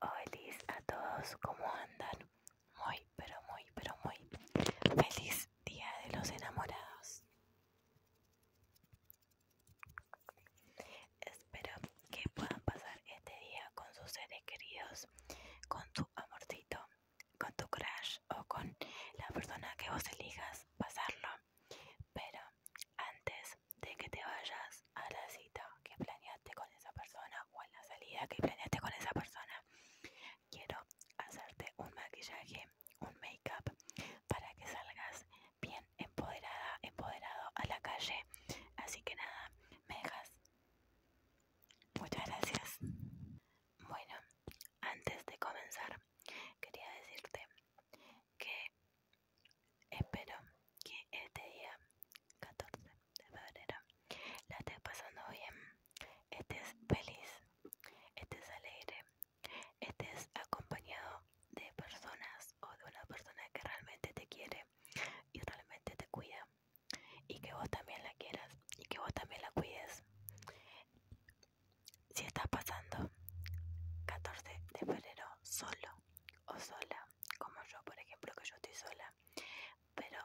Hola a todos, ¿cómo andan? Muy, pero muy, pero muy feliz día de los enamorados. Espero que puedan pasar este día con sus seres queridos, con tu amorcito, con tu crush o con la persona que vos elijas pasarlo. Pero antes de que te vayas, a la cita que planeaste con esa persona o a la salida que planeaste con esa persona, quiero hacerte un maquillaje, un make-up, para que salgas bien empoderada, empoderado a la calle. Así que nada, me dejas. Muchas gracias. Bueno, antes de comenzar, quería decirte que Espero que este día 14 de febrero la estés pasando bien, estés feliz, estés alegre, estés acompañado de personas o de una persona que realmente te quiere y realmente te cuida y que vos también la quieras y que vos también la cuides. Si estás pasando 14 de febrero solo o sola, como yo, por ejemplo, que yo estoy sola, pero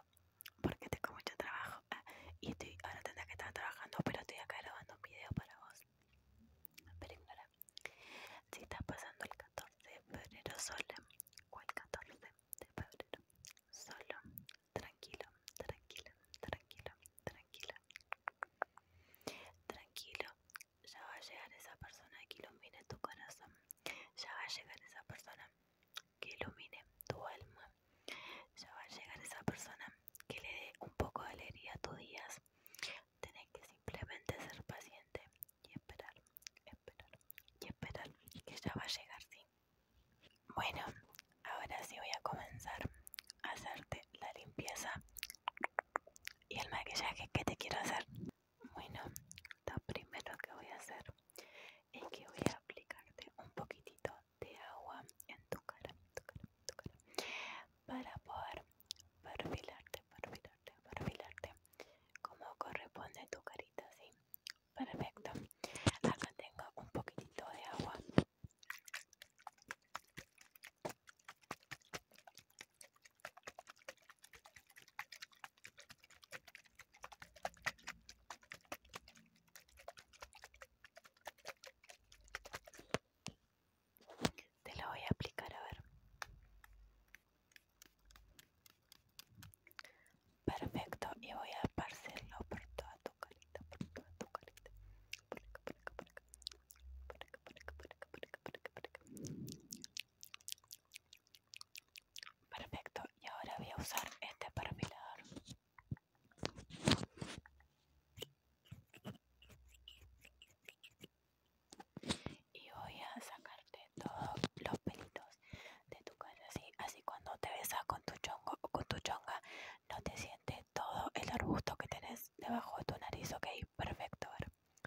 porque tengo mucho trabajo ah, y estoy, ahora tendría que estar trabajando, pero estoy acá grabando un video para vos. Pero si estás pasando el 14 de febrero sola o el 14 de febrero solo, tranquilo, tranquilo, tranquilo, tranquilo, tranquilo, ya va a llegar esa persona que ilumine tu corazón, ya va a llegar esa persona que ilumine tu alma, ya va a llegar esa persona que le dé un poco de alegría a tus días. Tenés que simplemente ser paciente y esperar, esperar y esperar que ya va a llegar, sí. Bueno, ahora sí voy a comenzar a hacerte la limpieza y el maquillaje que te quiero hacer. Bueno, lo primero que voy a hacer es que voy a aplicarte un poquitito de agua en tu cara, para poder perfilarte, perfilarte, perfilarte como corresponde tu carita, ¿sí? Perfecto. Acá tengo un poquitito de agua. Te lo voy a aplicar a ver. Perfecto, y voy a parcerlo por toda tu carita, por toda tu carita. Por acá, por acá, por acá. Por acá, por acá, por acá, por acá, por acá, por acá. Perfecto, y ahora voy a usar este perfilador. Y voy a sacarte todos los pelitos de tu cara, así, así cuando te besas con tu chongo o con tu chonga, no te sientes todo el arbusto que tenés debajo de tu nariz, ok, perfecto,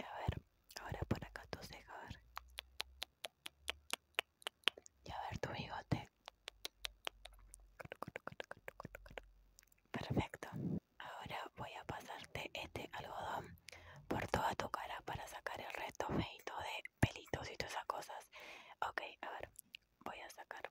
A ver, ahora por acá tu ceja, a ver. Y a ver tu bigote. Perfecto. Ahora voy a pasarte este algodón por toda tu cara para sacar el resto feito de pelitos y todas esas cosas. Ok, a ver, voy a sacar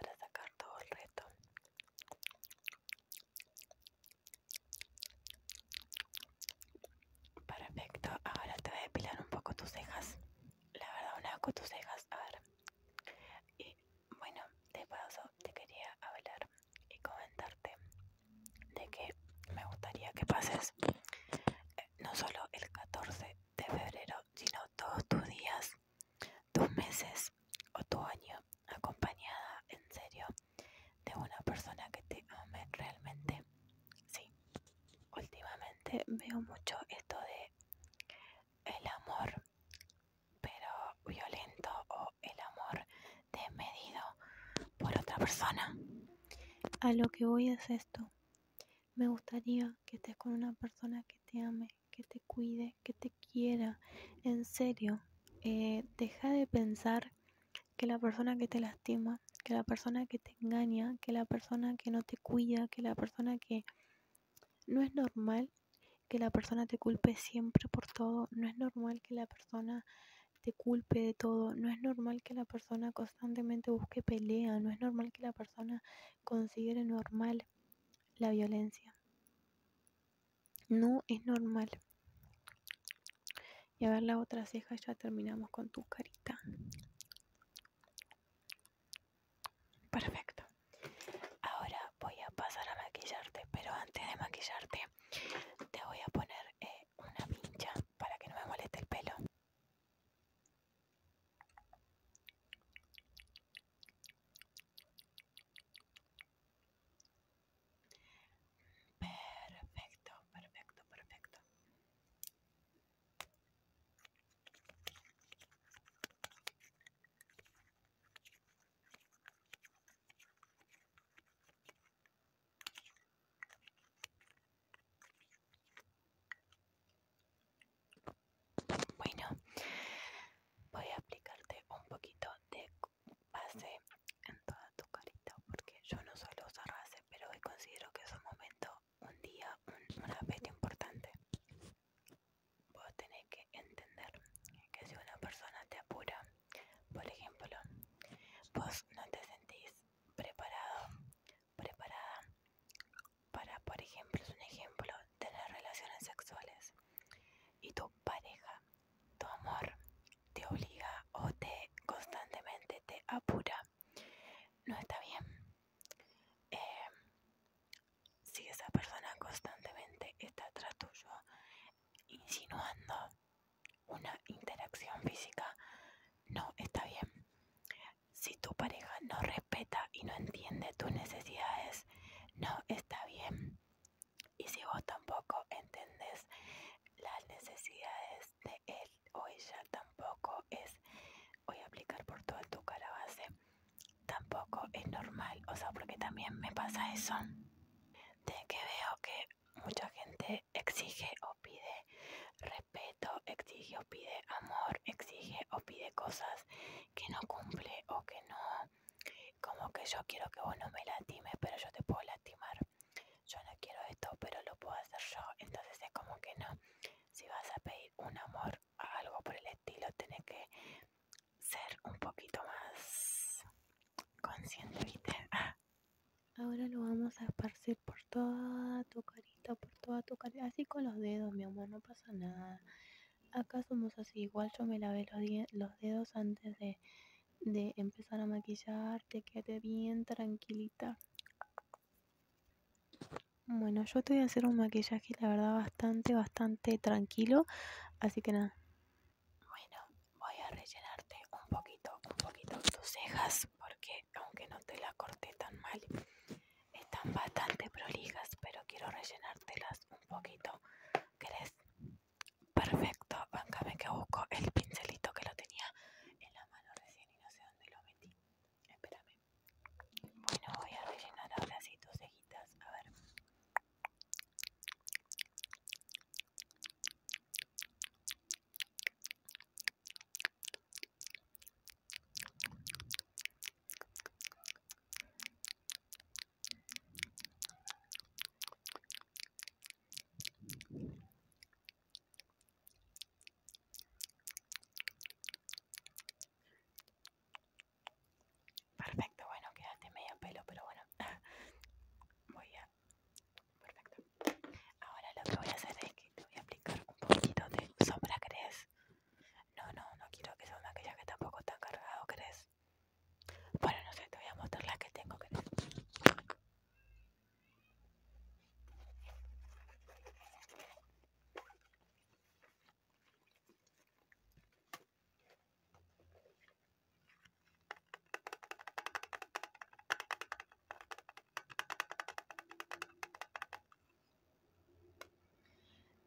para sacar todo el reto Perfecto, ahora te voy a depilar un poco tus cejas. La verdad, un con tus cejas, a ver. Y bueno, de paso te quería hablar y comentarte de que me gustaría que pases eh, no solo el 14 de febrero, sino todos tus días, tus meses o tu año, acompañada en serio de una persona que te ame realmente. Sí, últimamente veo mucho esto de el amor, pero violento o el amor desmedido por otra persona. A lo que voy es esto. Me gustaría que estés con una persona que te ame, que te cuide, que te quiera. En serio, eh, deja de pensar que la persona que te lastima, que la persona que te engaña, que la persona que no te cuida, que la persona que... No es normal que la persona te culpe siempre por todo, no es normal que la persona te culpe de todo, no es normal que la persona constantemente busque pelea, no es normal que la persona considere normal la violencia. No es normal. Y a ver la otra ceja, ya terminamos con tu carita. Perfecto. Ahora voy a pasar a maquillarte, pero antes de maquillarte te voy a poner eh, una pincha para que no me moleste el pelo. Perfecto, perfecto, perfecto. Bueno, voy a aplicarte un poquito de base en toda tu carita porque yo no suelo usar base, pero hoy considero que es un momento, un día, un, una importante. Vos tenés que entender que si una persona te apura, por ejemplo, vos no te sentís preparado preparada para, por ejemplo, es un ejemplo, tener relaciones sexuales y tu pareja, tu amor, te obliga o te constantemente te apura, no está bien. Eh, si esa persona constantemente está atrás tuyo, insinuando una interacción física, no está bien. Si tu pareja no respeta y no entiende tus necesidades, no está bien. Y si vos tampoco entendés las necesidades de él o ella, tampoco es, voy a aplicar por toda tu cara base, tampoco es normal. O sea, porque también me pasa eso, de que veo que mucha gente exige o pide respeto, exige o pide amor, exige o pide cosas que no cumple o que no, como que yo quiero que vos no me lastimes pero yo te puedo lastimar. Yo no quiero esto, pero lo puedo hacer yo. Entonces es como que no. Si vas a pedir un amor, algo por el estilo, tenés que ser un poquito más consciente, ah. Ahora lo vamos a esparcir por toda tu carita, por toda tu carita. Así con los dedos, mi amor, no pasa nada. Acá somos así, igual yo me lavé los, dedos antes de, de empezar a maquillarte. Quédate bien tranquilita. Bueno, yo te voy a hacer un maquillaje, la verdad, bastante, bastante tranquilo. Así que nada. Bueno, voy a rellenarte un poquito, un poquito tus cejas porque aunque no te la corté tan mal, están bastante prolijas, pero quiero rellenártelas un poquito. ¿Querés? Perfecto, me que busco el pincelito que lo tenía en la mano recién y no sé dónde lo metí. Espérame. Bueno, voy a rellenar ahora sí tus cejitas. A ver. Perfecto, bueno, quedaste medio pelo, pero bueno, voy a perfecto. Ahora lo que voy a hacer es que te voy a aplicar un poquito de sombra, ¿crees? No, no, no quiero que sea un que tampoco tan cargado, ¿crees? Bueno, no sé, te voy a mostrar la que tengo, ¿crees?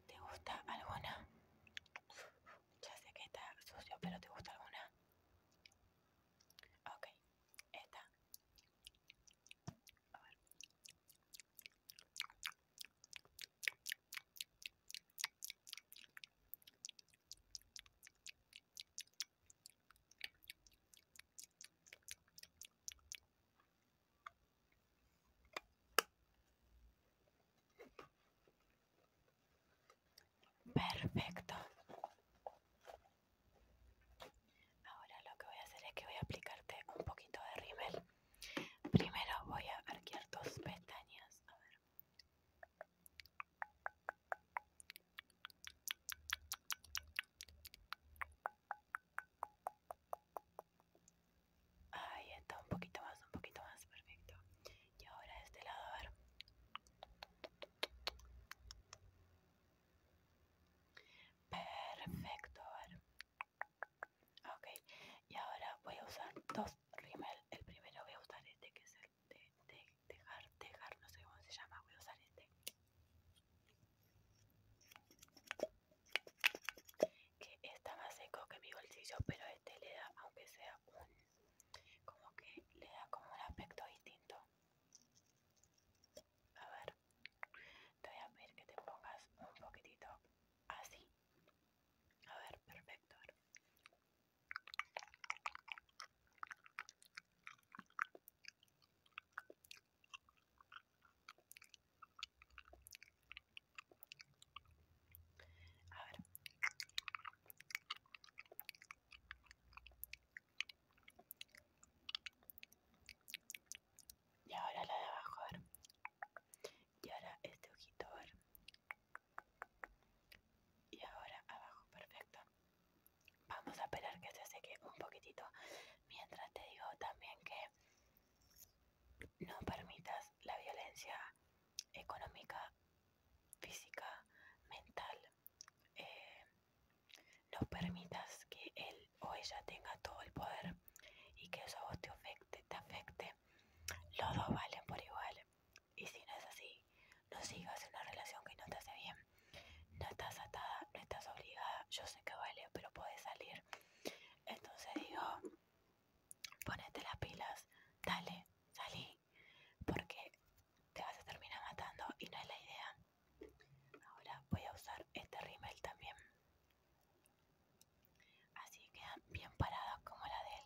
¿Te gusta alguna? Ya sé que está sucio, pero ¿te gusta alguna? Ok, esta. Perfecto. Ahora lo que voy a hacer es que voy a aplicarte un poquito de rímel. Primero voy a arquear tus pestañas. Ahí está, un poquito más, un poquito más, perfecto. Y ahora este lado, a ver. Perfecto, a ver. Ok, y ahora voy a usar dos rímel. El primero voy a usar este que es el de de dejar, dejar, no sé cómo se llama, voy a usar este que está más seco que mi bolsillo, pero este le da, aunque sea un, como que le da como un aspecto distinto. A ver, te voy a pedir que te pongas un poquitito así. A ver, perfecto. Y ahora la de abajo, Y ahora este ojito, Y ahora abajo, perfecto vamos a esperar que se seque un poquitito mientras te digo también que no permitas la violencia económica física mental eh, no permitas que él o ella tenga todo el poder y que eso te afecte te afecte los dos valen por igual y si no es así no sigas una relación que no te hace bien. No estás atada, no estás obligada. Yo sé que vale, pero puedes salir. Entonces digo, ponete las pilas, dale, salí, porque te vas a terminar matando y no es la idea. Ahora voy a usar este rimel también. Así quedan bien paradas como la de él.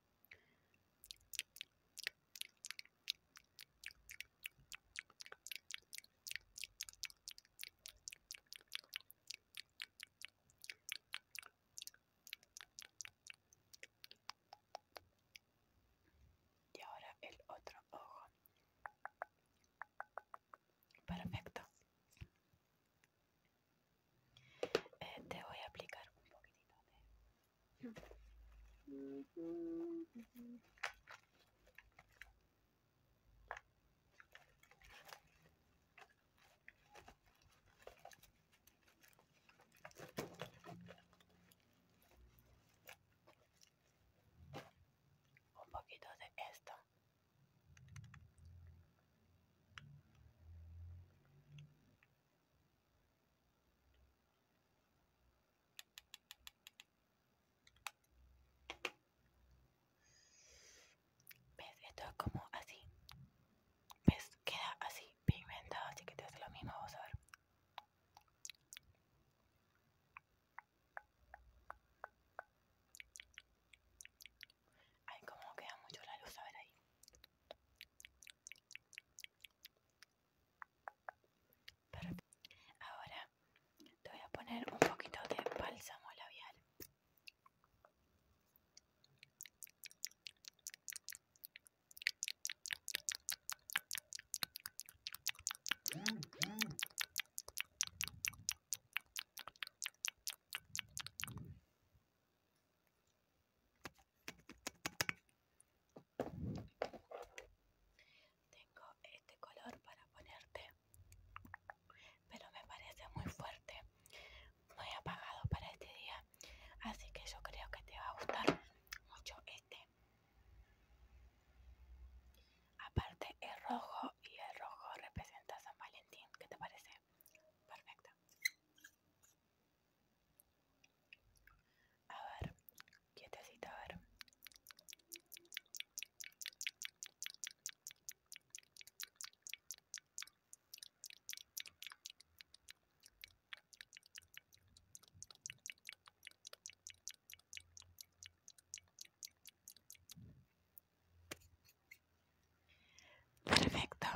Y ahora el otro ojo. Perfecto. Eh, te voy a aplicar un poquitito de un poquito de esto. ¿Ves? Esto es como así. ¿Ves? Queda así, pigmentado, así que te hace lo mismo, vamos a ver. Ay, como queda mucho la luz, a ver ahí. Ahora te voy a poner un poquito de bálsamo labial. Tengo este color para ponerte, pero me parece muy fuerte, muy apagado para este día, así que yo creo que te va a gustar mucho este. Aparte es rojo y el rojo representa San Valentín, ¿qué te parece? Perfecto. A ver, quietecita, a ver. Perfecto,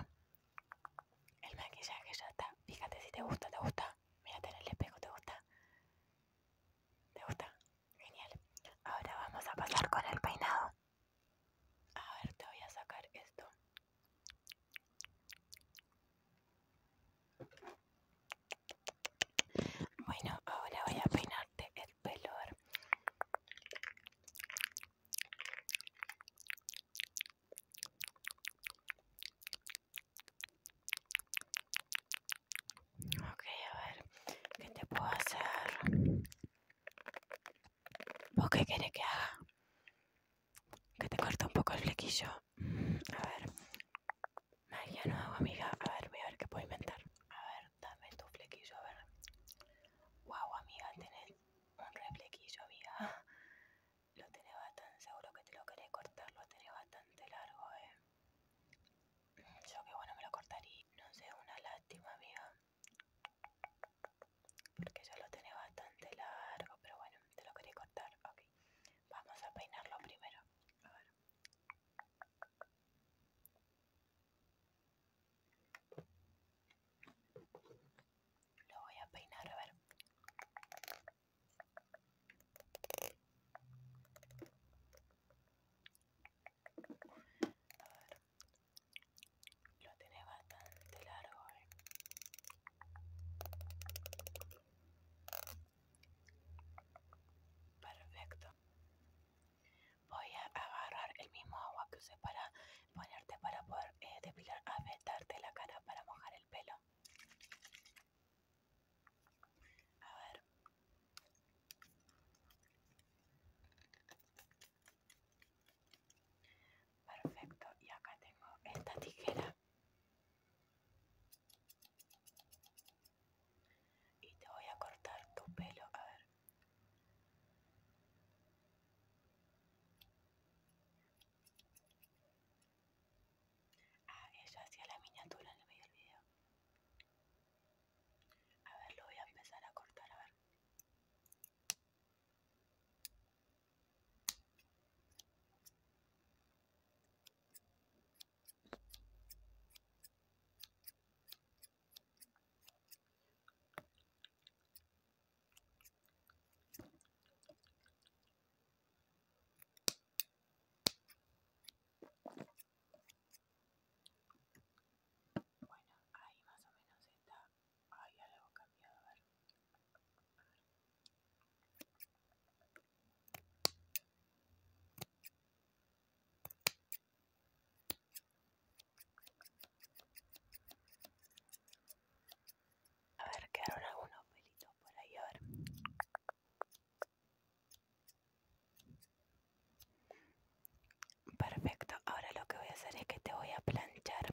el maquillaje ya está. Fíjate si te gusta, te gusta. Mírate en el espejo, te gusta. ¿Te gusta? Genial. Ahora vamos a pasar con el peinado. A ver, te voy a sacar esto. Bueno, ahora voy a peinarte el pelo. Ok, a ver, ¿qué te puedo hacer? ¿Vos qué querés que haga? Que te corte un poco el flequillo. A ver. Magia no hago, amiga. A ver, voy a ver qué puedo inventar. A ver, dame tu flequillo, a ver. Guau, amiga, tenés un reflequillo vía. Lo tiene bastante, seguro que te lo querés cortar, lo tenés bastante largo, eh. Yo que bueno me lo cortaría, no sé, una lástima, vía Porque ya lo tiene bastante largo, pero bueno, te lo quería cortar, ok. Vamos a peinarlo primero. A ver. Lo voy a peinar, a ver. Lo tiene bastante largo, eh. Perfecto. Voy a agarrar el mismo agua que usé para ponerte para poder eh, depilar, afeitarte la cara para mojar el pelo. A ver. Perfecto, y acá tengo esta tijera. Y te voy a cortar tu pelo, a ver. Ah, ella hacía la miniatura en el medio del video. A ver, lo voy a empezar a cortar, a ver. Bueno, ahí más o menos está. ya algo cambiado, A ver. A ver, quedaron algunos pelitos por ahí, a Perfecto, ahora lo que voy a hacer es que te voy a planchar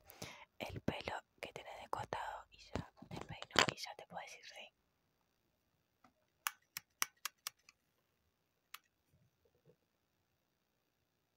el pelo que tienes de costado y ya el y ya te puedo decir rey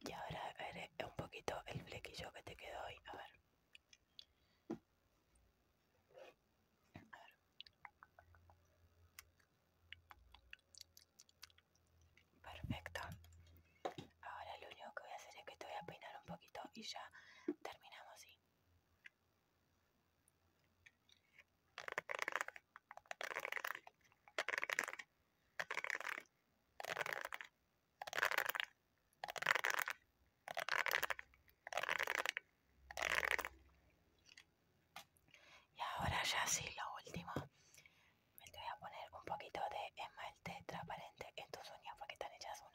Y ahora veré un poquito el flequillo que te quedó hoy. A ver. Perfecto. Ahora lo único que voy a hacer es que te voy a peinar un poquito y ya terminamos, ¿sí? Y ahora ya sí, lo último. Me voy a poner un poquito de esmalte transparente en tus uñas porque están hechas un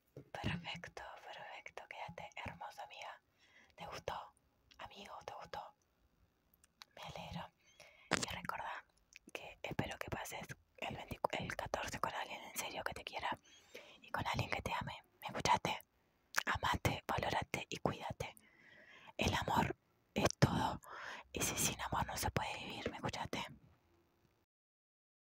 Perfecto, perfecto, quédate hermosa amiga. ¿Te gustó? Amigo, ¿te gustó? Me alegro. Y recordad que espero que pases el, el 14 con alguien en serio que te quiera y con alguien que te ame. ¿Me escuchaste? Amate, valorate y cuídate. El amor es todo. Y si sin amor no se puede vivir, ¿me escuchaste?